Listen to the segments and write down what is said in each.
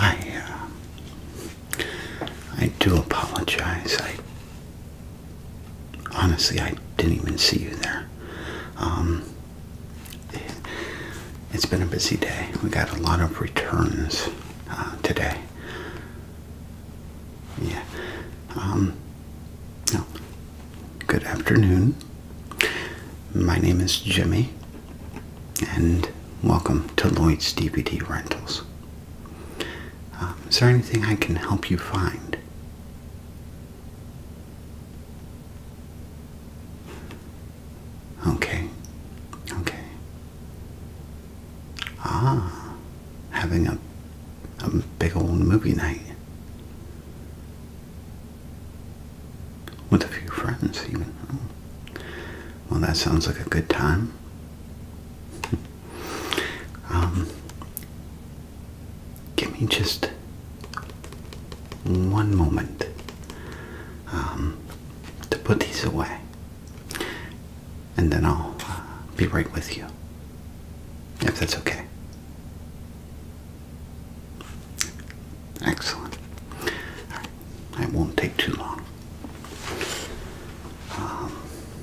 I uh, I do apologize. I honestly, I didn't even see you there. Um, it's been a busy day. We got a lot of returns uh, today. Yeah. Um, no. Good afternoon. My name is Jimmy, and welcome to Lloyd's DVD Rentals. Um, is there anything I can help you find? Okay, okay. Ah, having a, a big old movie night. With a few friends, Well, that sounds like a good time. Um, give me just one moment um, to put these away, and then I'll uh, be right with you, if that's okay. Excellent. I won't take too long. Um,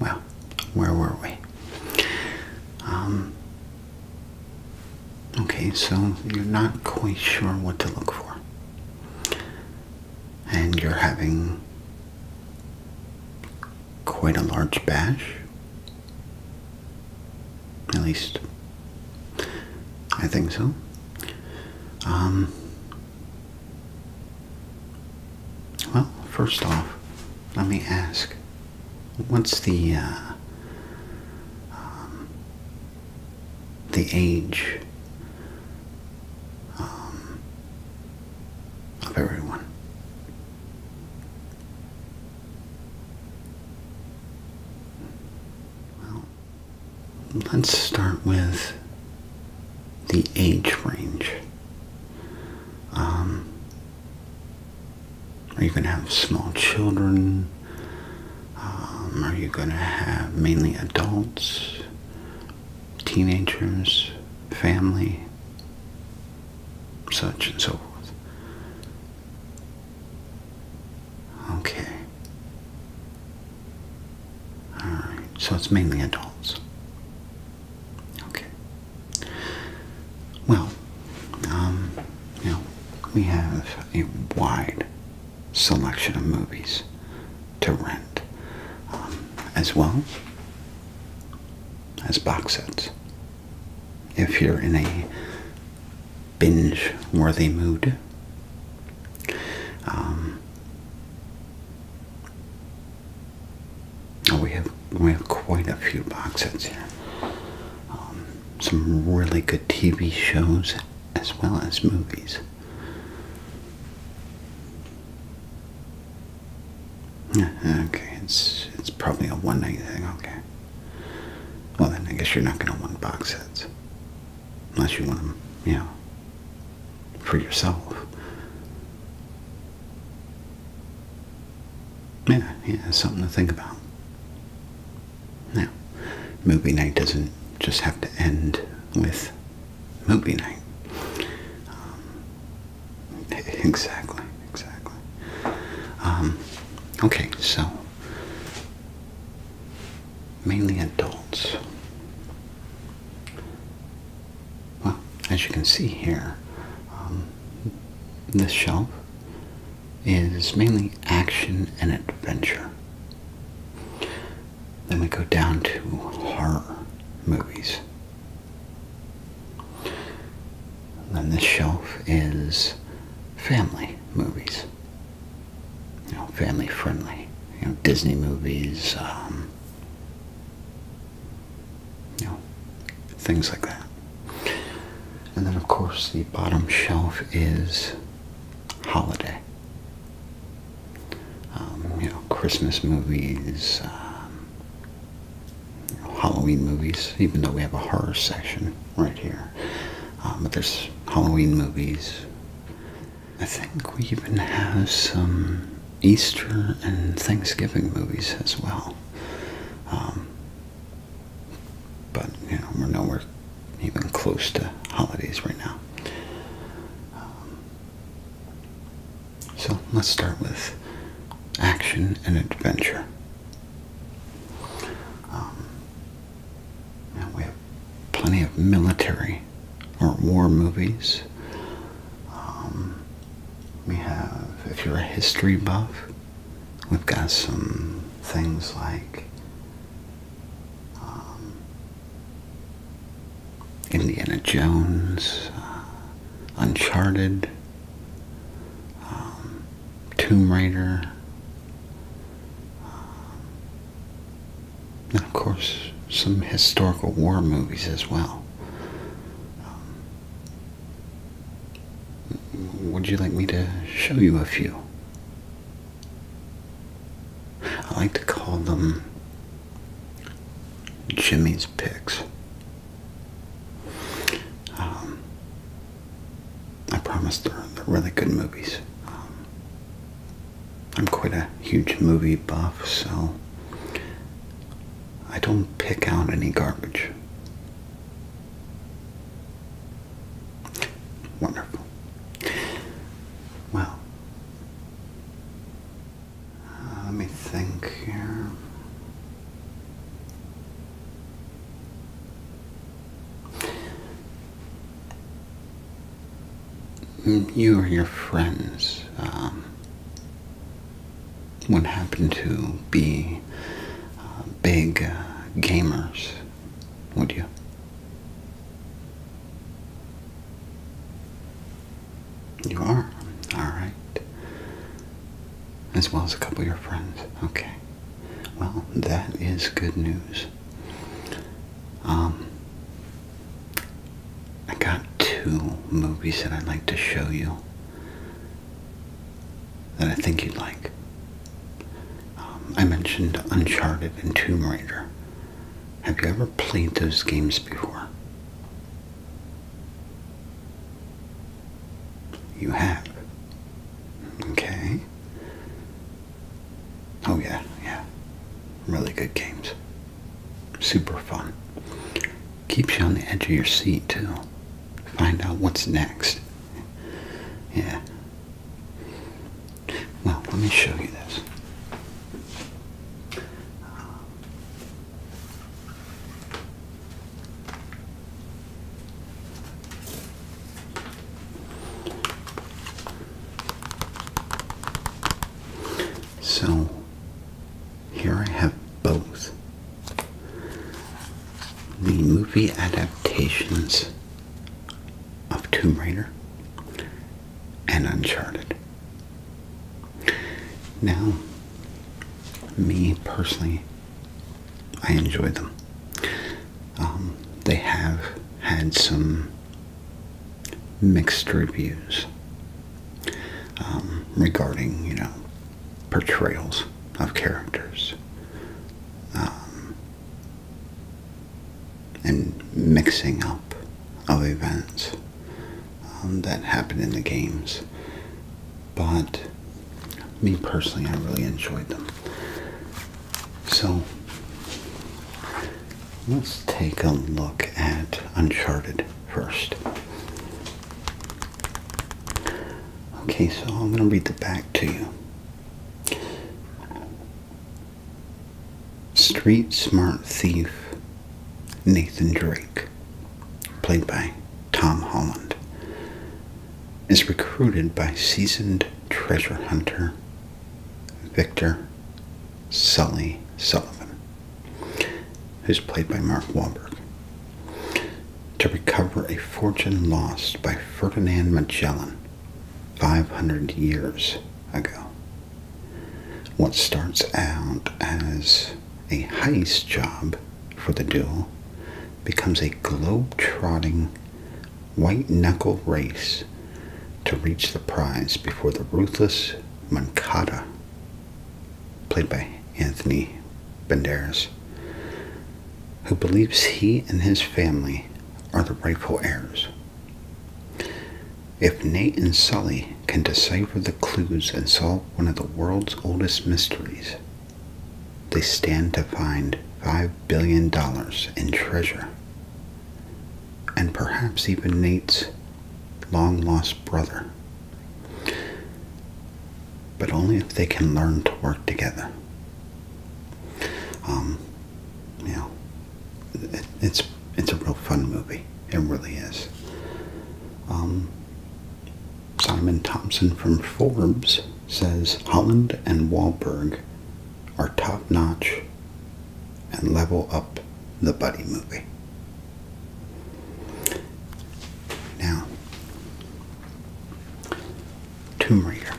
well, where were we? Um, okay, so you're not quite sure what to look for. And you're having quite a large bash. At least, I think so. Um, well, first off, let me ask what's the uh, um, the age um, of everyone? Well, let's start with the age range. Um, are you going to have small children? Um, are you going to have mainly adults, teenagers, family, such and so forth? Okay. Alright, so it's mainly adults. Okay. Well, um, we have a wide selection of movies to rent, um, as well as box sets. If you're in a binge-worthy mood, um, Oh, we have we have quite a few box sets here. Um, some really good TV shows as well as movies. Uh, okay, it's it's probably a one night thing. Okay. Well then, I guess you're not gonna want box sets unless you want them, Yeah for yourself. Yeah, yeah, something to think about. Now, movie night doesn't just have to end with movie night. Um, exactly, exactly. Um, okay, so mainly adults. Well, as you can see here, um, this shelf is mainly action and adventure. Then we go down to horror movies. Then this shelf is family movies. You know, family friendly. You know, Disney movies, um, you know, things like that. And then, of course, the bottom shelf is holiday. Um, you know, Christmas movies, um, Halloween movies, even though we have a horror section right here. Um, but there's Halloween movies. I think we even have some Easter and Thanksgiving movies as well. Um, but, you know, we're nowhere even close to holidays right now. Um, so let's start with action and adventure. Um, now we have plenty of military or war movies. We have, if you're a history buff, we've got some things like um, Indiana Jones, uh, Uncharted, um, Tomb Raider, um, and of course some historical war movies as well. Um, would you like me to show you a few? I like to call them Jimmy's Picks. Um, I promise they're, they're really good movies. Um, I'm quite a huge movie buff, so I don't pick out any garbage. Wonderful. Well, uh, let me think here. Mm, you or your friends, um, what happen to be uh, big uh, gamers, would you? You are? Alright. As well as a couple of your friends. Okay. Well, that is good news. Um, I got two movies that I'd like to show you that I think you'd like. Um, I mentioned Uncharted and Tomb Raider. Have you ever played those games before? You have. Okay. Oh yeah, yeah. Really good games. Super fun keeps you on the edge of your seat too. Find out what's next. Yeah. Well, let me show you this. So here I have both. The movie adaptations of Tomb Raider and Uncharted. Now, me personally, I enjoy them. Um, they have had some mixed reviews um, regarding, you know, portrayals of characters um, and mixing up of events um, that happen in the games. But me personally, I really enjoyed them. So let's take a look at Uncharted first. Okay, so I'm going to read the back to you. Street smart thief Nathan Drake, played by Tom Holland, is recruited by seasoned treasure hunter Victor Sully Sullivan who's played by Mark Wahlberg, to recover a fortune lost by Ferdinand Magellan 500 years ago. What starts out as a heist job for the duo becomes a globe-trotting, white-knuckle race to reach the prize before the ruthless Mancada played by Anthony Banderas, who believes he and his family are the rightful heirs. If Nate and Sully can decipher the clues and solve one of the world's oldest mysteries, they stand to find $5 billion in treasure. And perhaps even Nate's long lost brother. But only if they can learn to work together. Um, you know, it's it's a real fun movie. It really is. Um, Simon Thompson from Forbes says Holland and Wahlberg are top notch and level up the buddy movie. Now, Tomb Raider.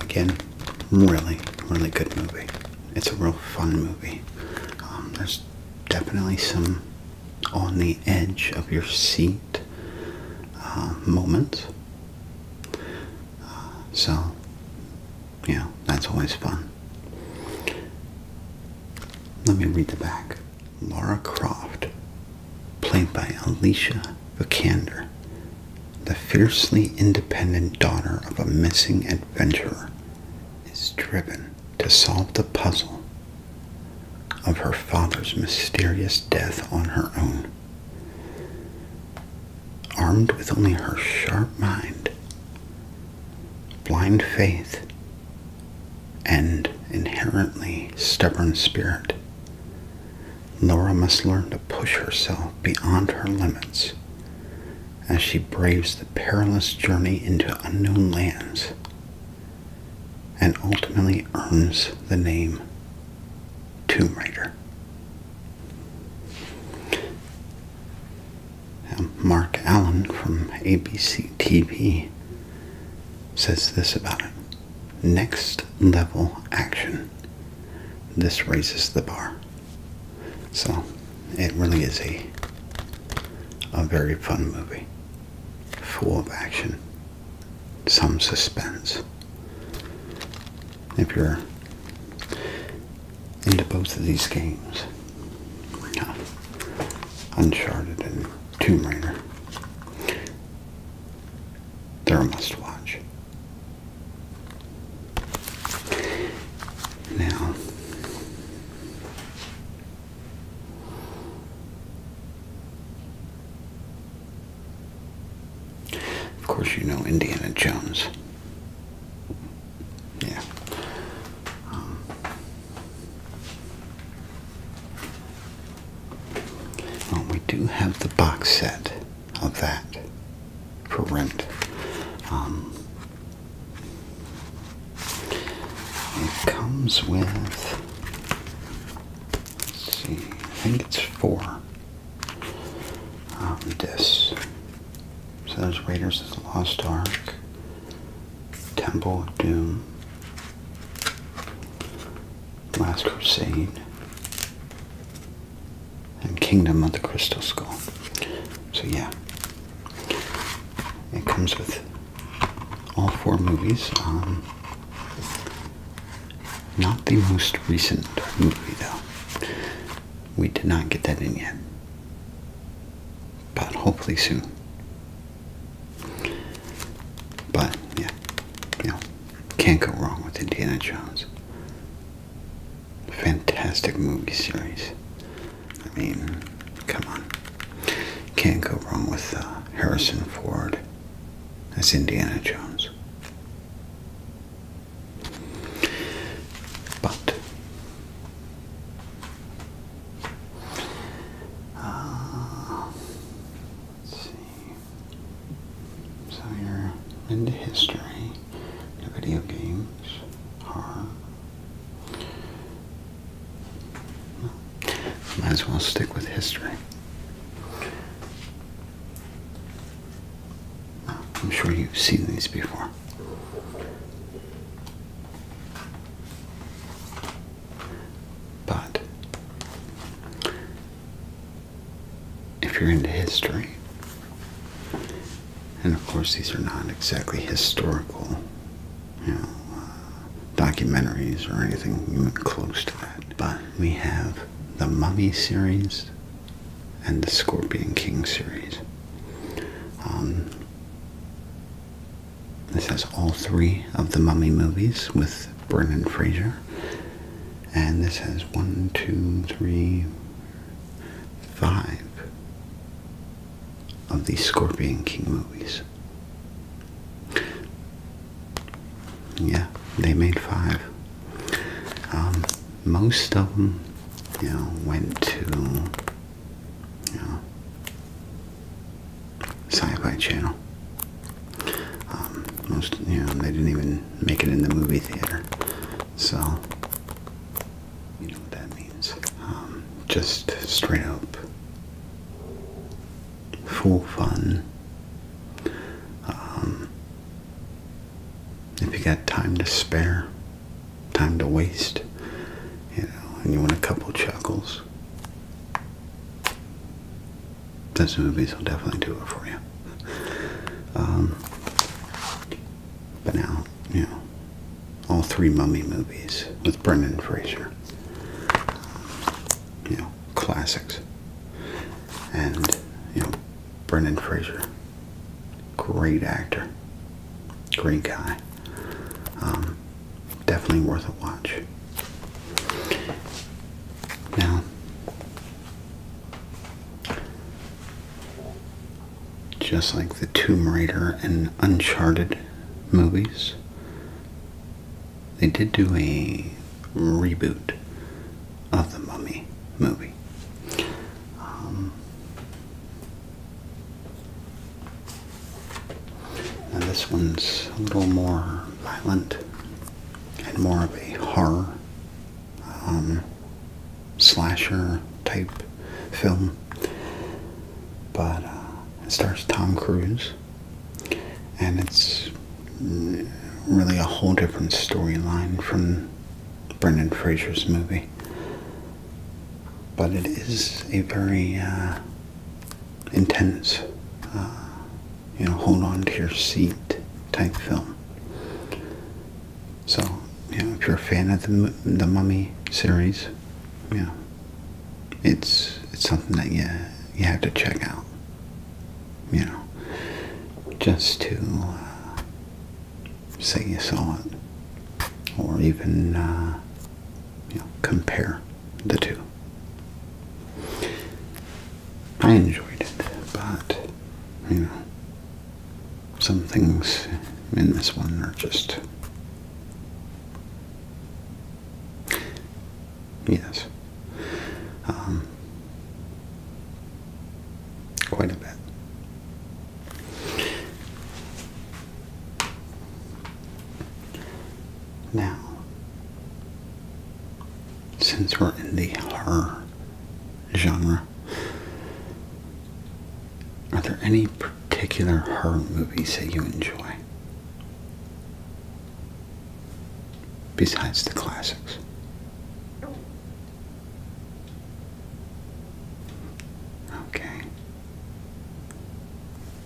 Again, really, really good movie. It's a real fun movie. Um, there's definitely some on the edge of your seat uh, moments. Uh, so, yeah, that's always fun. Let me read the back. Laura Croft, played by Alicia Vikander, the fiercely independent daughter of a missing adventurer, is driven to solve the puzzle of her father's mysterious death on her own armed with only her sharp mind, blind faith, and inherently stubborn spirit, Laura must learn to push herself beyond her limits as she braves the perilous journey into unknown lands and ultimately earns the name Tomb Raider. Mark Allen from ABC TV says this about it next level action. This raises the bar. So it really is a a very fun movie. Full of action. Some suspense if you're into both of these games. Uncharted and Tomb Raider. They're a must watch. Now, of course, you know Indiana Jones. Yeah. Um, we do have the box set of that for rent. Um, it comes with, let's see, I think it's four um, discs. So there's Raiders of the Lost Ark, Temple of Doom, Last Crusade, and Kingdom of the Crystal Skull. So yeah, it comes with all four movies. Um, not the most recent movie though. We did not get that in yet but hopefully soon. But yeah, you know, can't go wrong with Indiana Jones. Fantastic movie series. I mean, come on, can't go wrong with uh, Harrison Ford as Indiana Jones. But uh, let's see. So you're into history, the video games, horror. Might as well stick with history. Oh, I'm sure you've seen these before. But if you're into history, and of course these are not exactly historical, you know, uh, documentaries or anything even close to that, but we have the Mummy series and the Scorpion King series. Um, this has all three of the Mummy movies with Brendan Fraser. And this has one, two, three, five of the Scorpion King movies. Yeah, they made five. Um, most of them, you know, went to you sci-fi channel. Um, most, you know, they didn't even make it in the movie theater, so you know what that means. Um, just straight up full fun. Um, if you got time to spare, time to waste, you know, and you want a couple chuckles. Those movies will definitely do it for you. Um, but now, you know, all three Mummy movies with Brendan Fraser, you know, classics, and you know, Brendan Fraser, great actor, great guy. Um, definitely worth a watch. Now, just like the Tomb Raider and Uncharted movies, they did do a reboot of the Mummy movie. Um, and this one's a little more violent and more of a horror um, slasher type film. But uh, it stars Tom Cruise, and it's really a whole different storyline from Brendan Fraser's movie but it is a very uh, intense, uh, you know, hold on to your seat type film. So, you know, if you're a fan of the the Mummy series, you know, it's it's something that you you have to check out. You know, just to uh, say you saw it, or even uh, you know, compare the two. I enjoyed it, but you know, some things in this one are just. Yes. Um, quite a bit. Now, since we're in the horror genre, are there any particular horror movies that you enjoy? Besides the classics? Okay.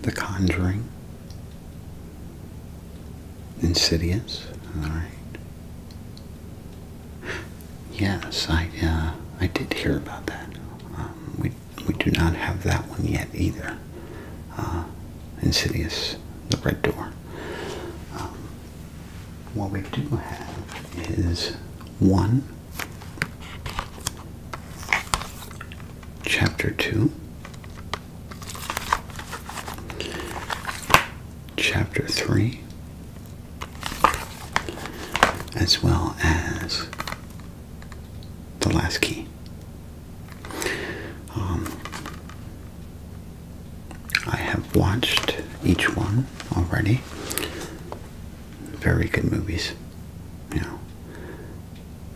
The Conjuring, Insidious, all right. Yes, I uh, I did hear about that. Um, we we do not have that one yet either. Uh, Insidious, The Red Door. Um, what we do have is one Chapter 2, Chapter 3, as well as the last key. Um, I have watched each one already very good movies. You know,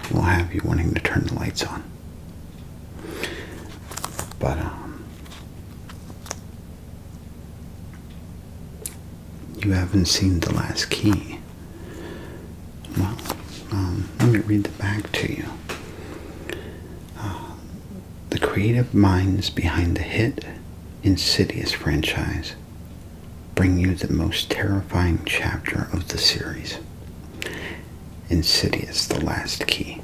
we will have you wanting to turn the lights on. But um, you haven't seen the last key. Well, um, let me read the back to you. Uh, the creative minds behind the hit Insidious franchise bring you the most terrifying chapter of the series Insidious, The Last Key.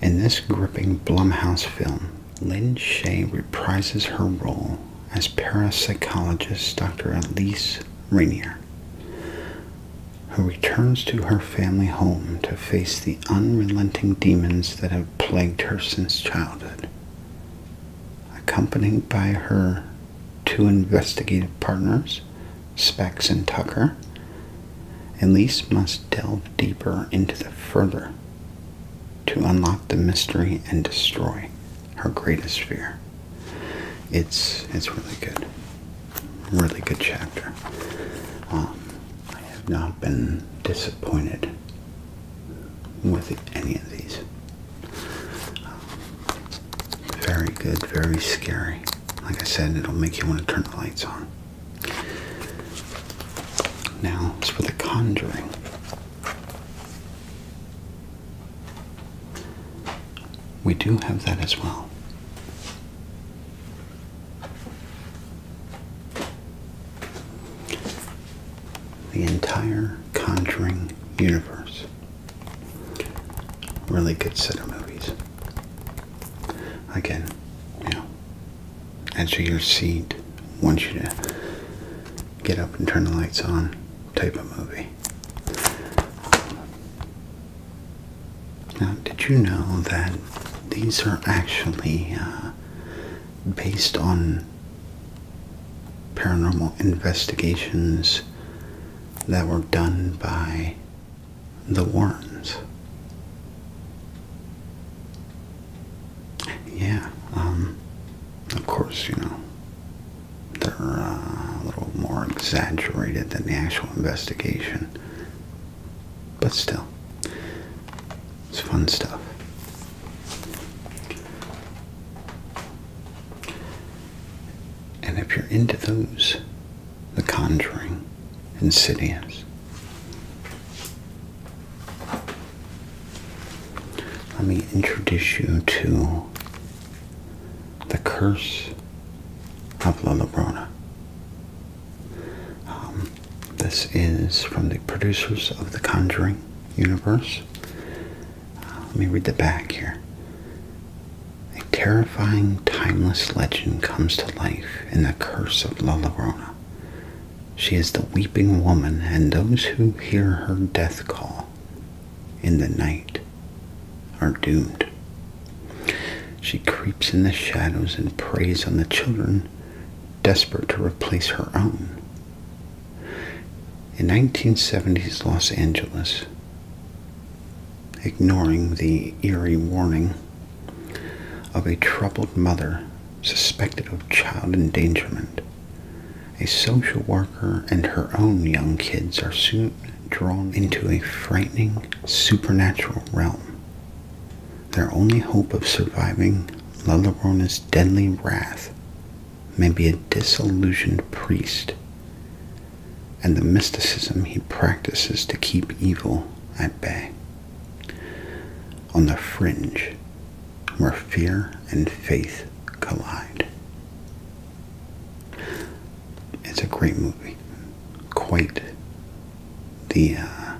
In this gripping Blumhouse film, Lynn Shaye reprises her role as parapsychologist Dr. Elise Rainier, who returns to her family home to face the unrelenting demons that have plagued her since childhood accompanied by her two investigative partners, Specs and Tucker. Elise must delve deeper into the further to unlock the mystery and destroy her greatest fear. It's it's really good, really good chapter. Um, I have not been disappointed with any of these. very good, very scary. Like I said, it'll make you want to turn the lights on. Now, it's for the Conjuring. We do have that as well. The entire Conjuring universe. Really good set of movies. Again, you know, edge your seat, wants you to get up and turn the lights on type of movie. Now, did you know that these are actually uh, based on paranormal investigations that were done by the Worms. Yeah, um, of course, you know, they're uh, a little more exaggerated than the actual investigation. But still, it's fun stuff. And if you're into those, The Conjuring, Insidious. Let me introduce you to The Curse of La Llorona. Um, this is from the producers of The Conjuring universe let me read the back here. A terrifying, timeless legend comes to life in the curse of La Llorona. She is the weeping woman, and those who hear her death call in the night are doomed. She creeps in the shadows and preys on the children, desperate to replace her own in 1970s Los Angeles, ignoring the eerie warning of a troubled mother suspected of child endangerment, a social worker and her own young kids are soon drawn into a frightening supernatural realm. Their only hope of surviving La Llorona's deadly wrath May be a disillusioned priest, and the mysticism he practices to keep evil at bay. On the fringe, where fear and faith collide. It's a great movie. Quite the uh,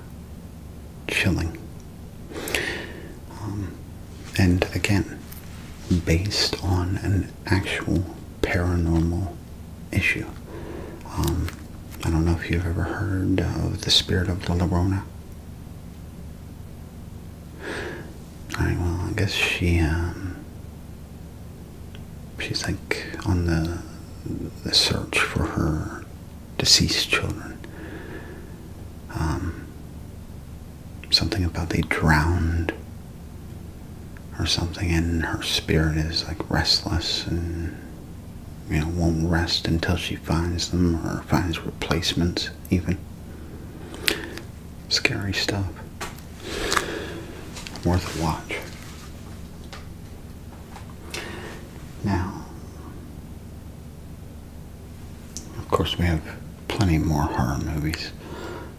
chilling. Um, and again based on an actual paranormal issue. Um, I don't know if you've ever heard of the spirit of La Llorona. Alright, well, I guess she, um, she's like on the, the search for her deceased children. Um, something about they drowned or something, and her spirit is like restless and you know won't rest until she finds them or finds replacements, even scary stuff. Worth a watch. Now, of course, we have plenty more horror movies.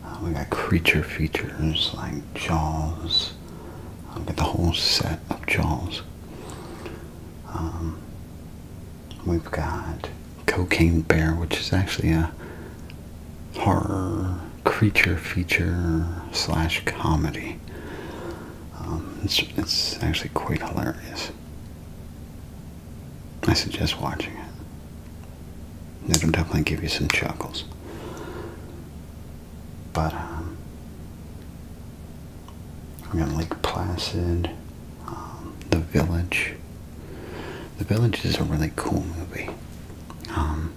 Uh, we got creature features like Jaws. Uh, we got the whole set of Jaws. Um, we've got Cocaine Bear, which is actually a horror creature feature slash comedy. Um, it's actually quite hilarious. I suggest watching it. It'll definitely give you some chuckles. But, um, I'm gonna like Placid, um, The Village. The Village is a really cool movie. Um,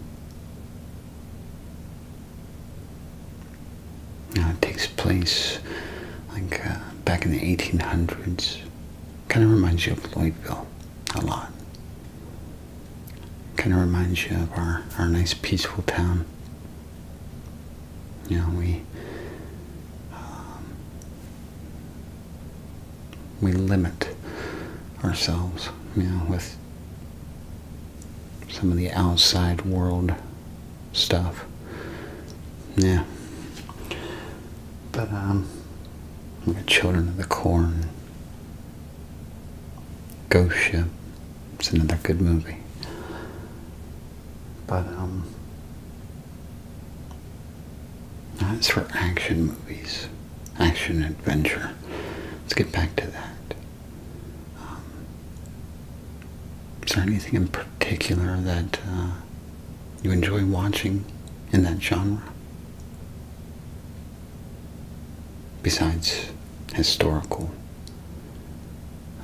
it takes place like uh, back in the 1800s Kind of reminds you of Louisville, a lot. Kind of reminds you of our, our nice peaceful town. You know, we, um, we limit ourselves, you know, with some of the outside world stuff. Yeah. But, um, the children of the corn. Ghost Ship. It's another good movie. But, um, that's for action movies, action adventure. Let's get back to that. Um, is there anything in particular that uh, you enjoy watching in that genre. Besides historical,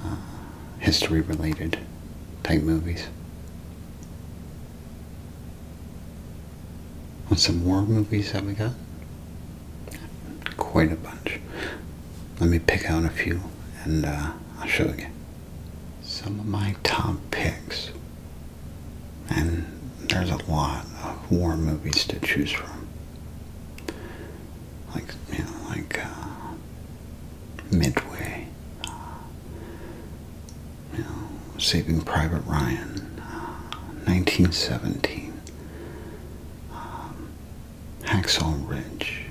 uh, history related type movies. What some war movies have we got? Quite a bunch. Let me pick out a few and uh, I'll show you. Some of my top picks. And there's a lot of war movies to choose from. Like, you know, like uh, Midway, uh, you know, Saving Private Ryan, 1917, uh, um, Hacksaw Ridge,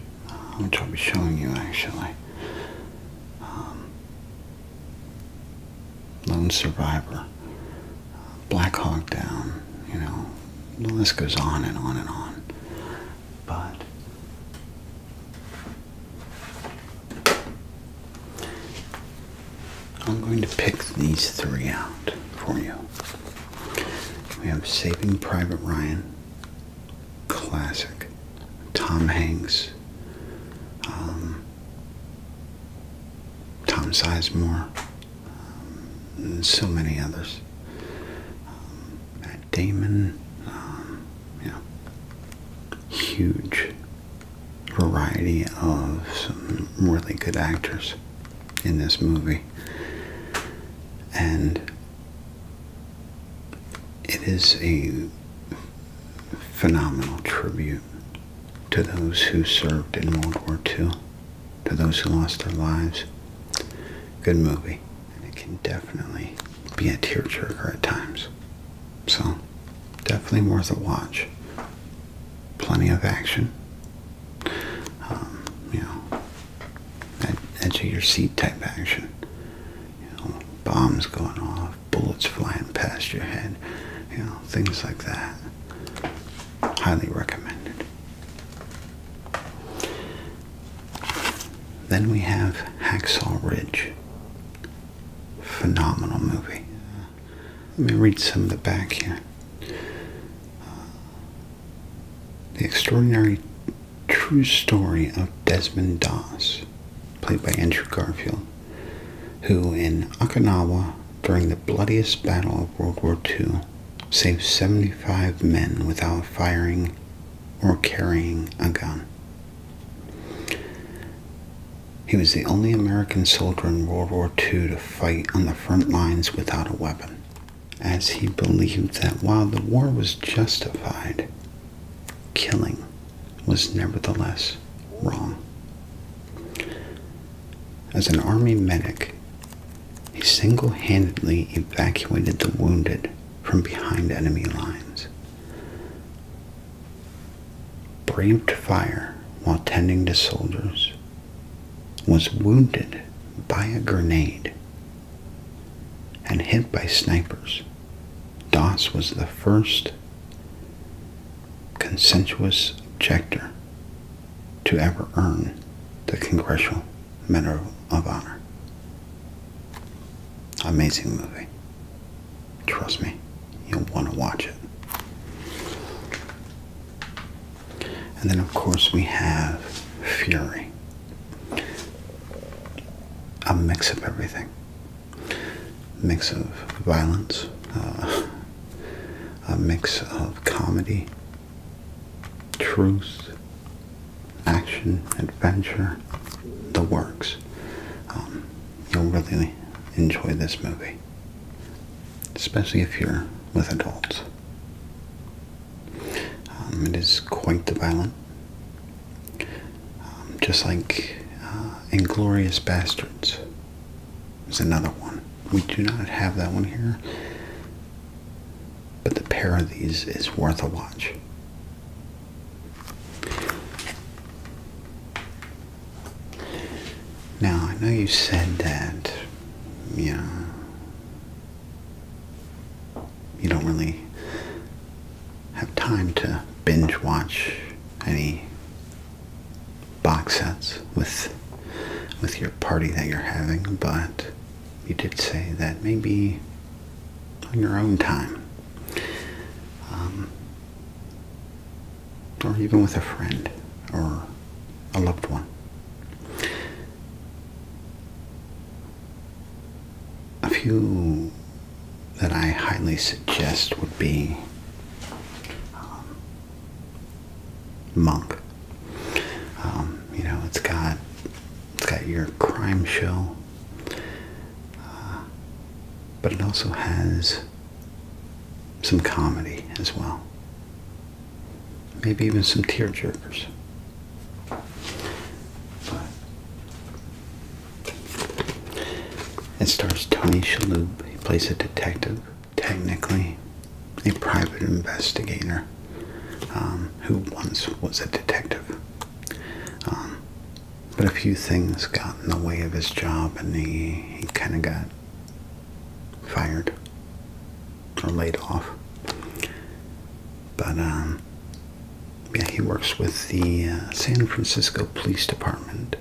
which I'll be showing you actually. Um, Lone Survivor, Black Hawk Down, you know, the list goes on and on and on. But I'm going to pick these three out for you. We have Saving Private Ryan, classic, Tom Hanks, um, Tom Sizemore, um, and so many others. Um, Matt Damon, um, yeah, huge variety of some really good actors in this movie, and it is a phenomenal tribute to those who served in World War II, to those who lost their lives. Good movie, and it can definitely be a tearjerker at times. So, definitely worth a watch. Plenty of action. Um, you know, edge of your seat type action. bombs going off, bullets flying past your head, you know, things like that. Highly recommended. Then we have Hacksaw Ridge. Phenomenal movie. Let me read some of the back here. the extraordinary true story of Desmond Doss, played by Andrew Garfield, who in Okinawa during the bloodiest battle of World War II saved 75 men without firing or carrying a gun. He was the only American soldier in World War II to fight on the front lines without a weapon, as he believed that while the war was justified, killing was nevertheless wrong. As an army medic, he single handedly evacuated the wounded from behind enemy lines, braved fire while tending to soldiers, was wounded by a grenade, and hit by snipers. Doss was the first consensuous objector to ever earn the Congressional Medal of Honor. Amazing movie. Trust me, you'll want to watch it. And then, of course, we have Fury. A mix of everything mix of violence, uh, a mix of comedy, truth, action, adventure, the works. Um, you'll really enjoy this movie, especially if you're with adults. Um, it is quite violent, um, just like uh, Inglorious Bastards. There's another one. We do not have that one here. But the pair of these is worth a watch. Now, I know you said that, yeah, you don't really have time to binge watch any box sets with with your party that you're having, but you did say that maybe on your own time, um, or even with a friend or a loved one. A few that I highly suggest would be um, monk. Um, you know, it's got it's got your crime show, uh, but it also has some comedy as well. Maybe even some tear jerkers. It stars Tony Shalhoub. He plays a detective, technically a private investigator, um, who once was a detective. Um, but a few things got in the way of his job, and he, he kind of got fired or laid off. But um, yeah, he works with the uh, San Francisco Police Department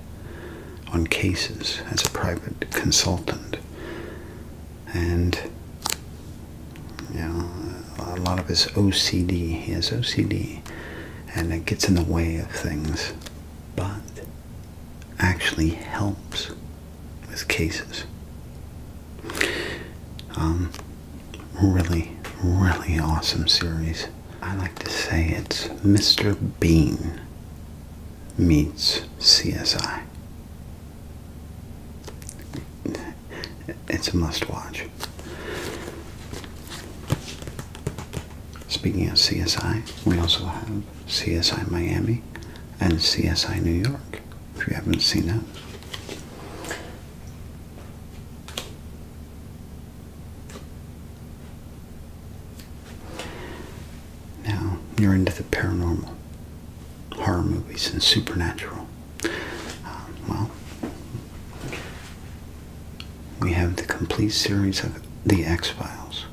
on cases as a private consultant. And, you know, a lot of his OCD, he has OCD, and it gets in the way of things, but actually helps with cases. Um, really, really awesome series. I like to say it's Mr. Bean meets CSI. It's a must watch. Speaking of CSI, we also have CSI Miami and CSI New York, if you haven't seen that. Now, you're into the paranormal, horror movies, and supernatural. Um, well, we have the complete series of The X Files.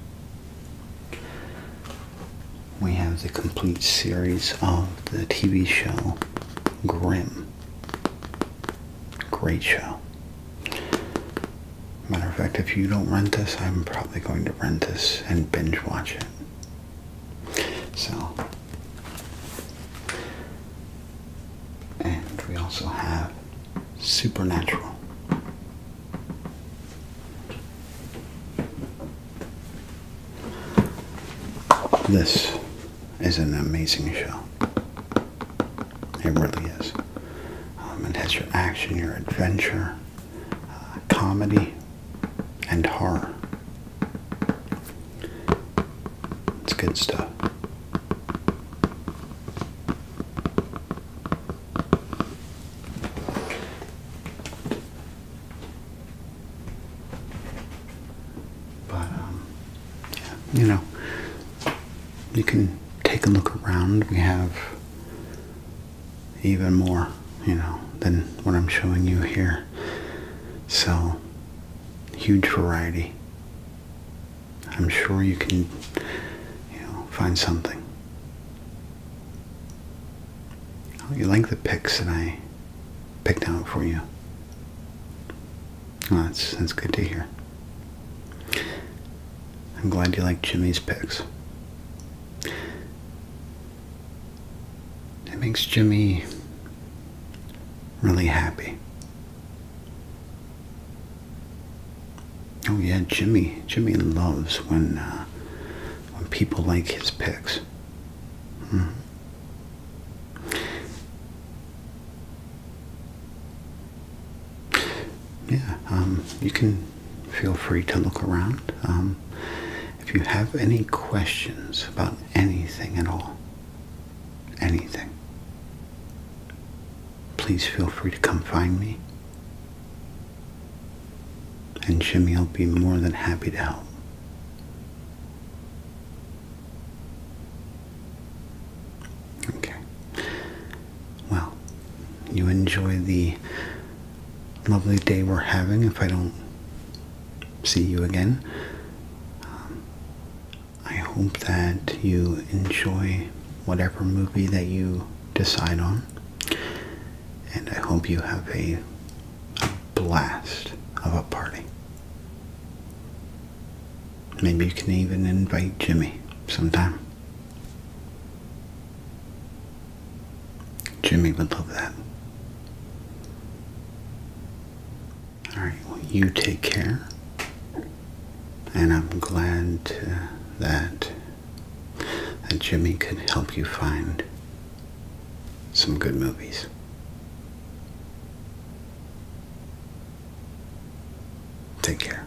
We have the complete series of the TV show Grimm. Great show. Matter of fact, if you don't rent this, I'm probably going to rent this and binge watch it. So, and we also have Supernatural. This is an amazing show. It really is. Um, it has your action, your adventure, uh, comedy, and horror. It's good stuff. But, um, you know, you can take a look around. We have even more, you know, than what I'm showing you here. So, huge variety. I'm sure you can, you know, find something. Oh, you like the pics that I picked out for you. that's, that's good to hear. I'm glad you like Jimmy's pics. It makes Jimmy really happy. Oh yeah, Jimmy. Jimmy loves when uh, when people like his pics. Hmm. Yeah, um, you can feel free to look around. Um, if you have any questions about anything at all, anything, please feel free to come find me. And Jimmy will be more than happy to help. Okay well, you enjoy the lovely day we're having if I don't see you again. Um, I hope that you enjoy whatever movie that you decide on. And I hope you have a blast of a party. Maybe you can even invite Jimmy sometime. Jimmy would love that. Alright, well, you take care. And I'm glad that, that Jimmy can help you find some good movies. Take care.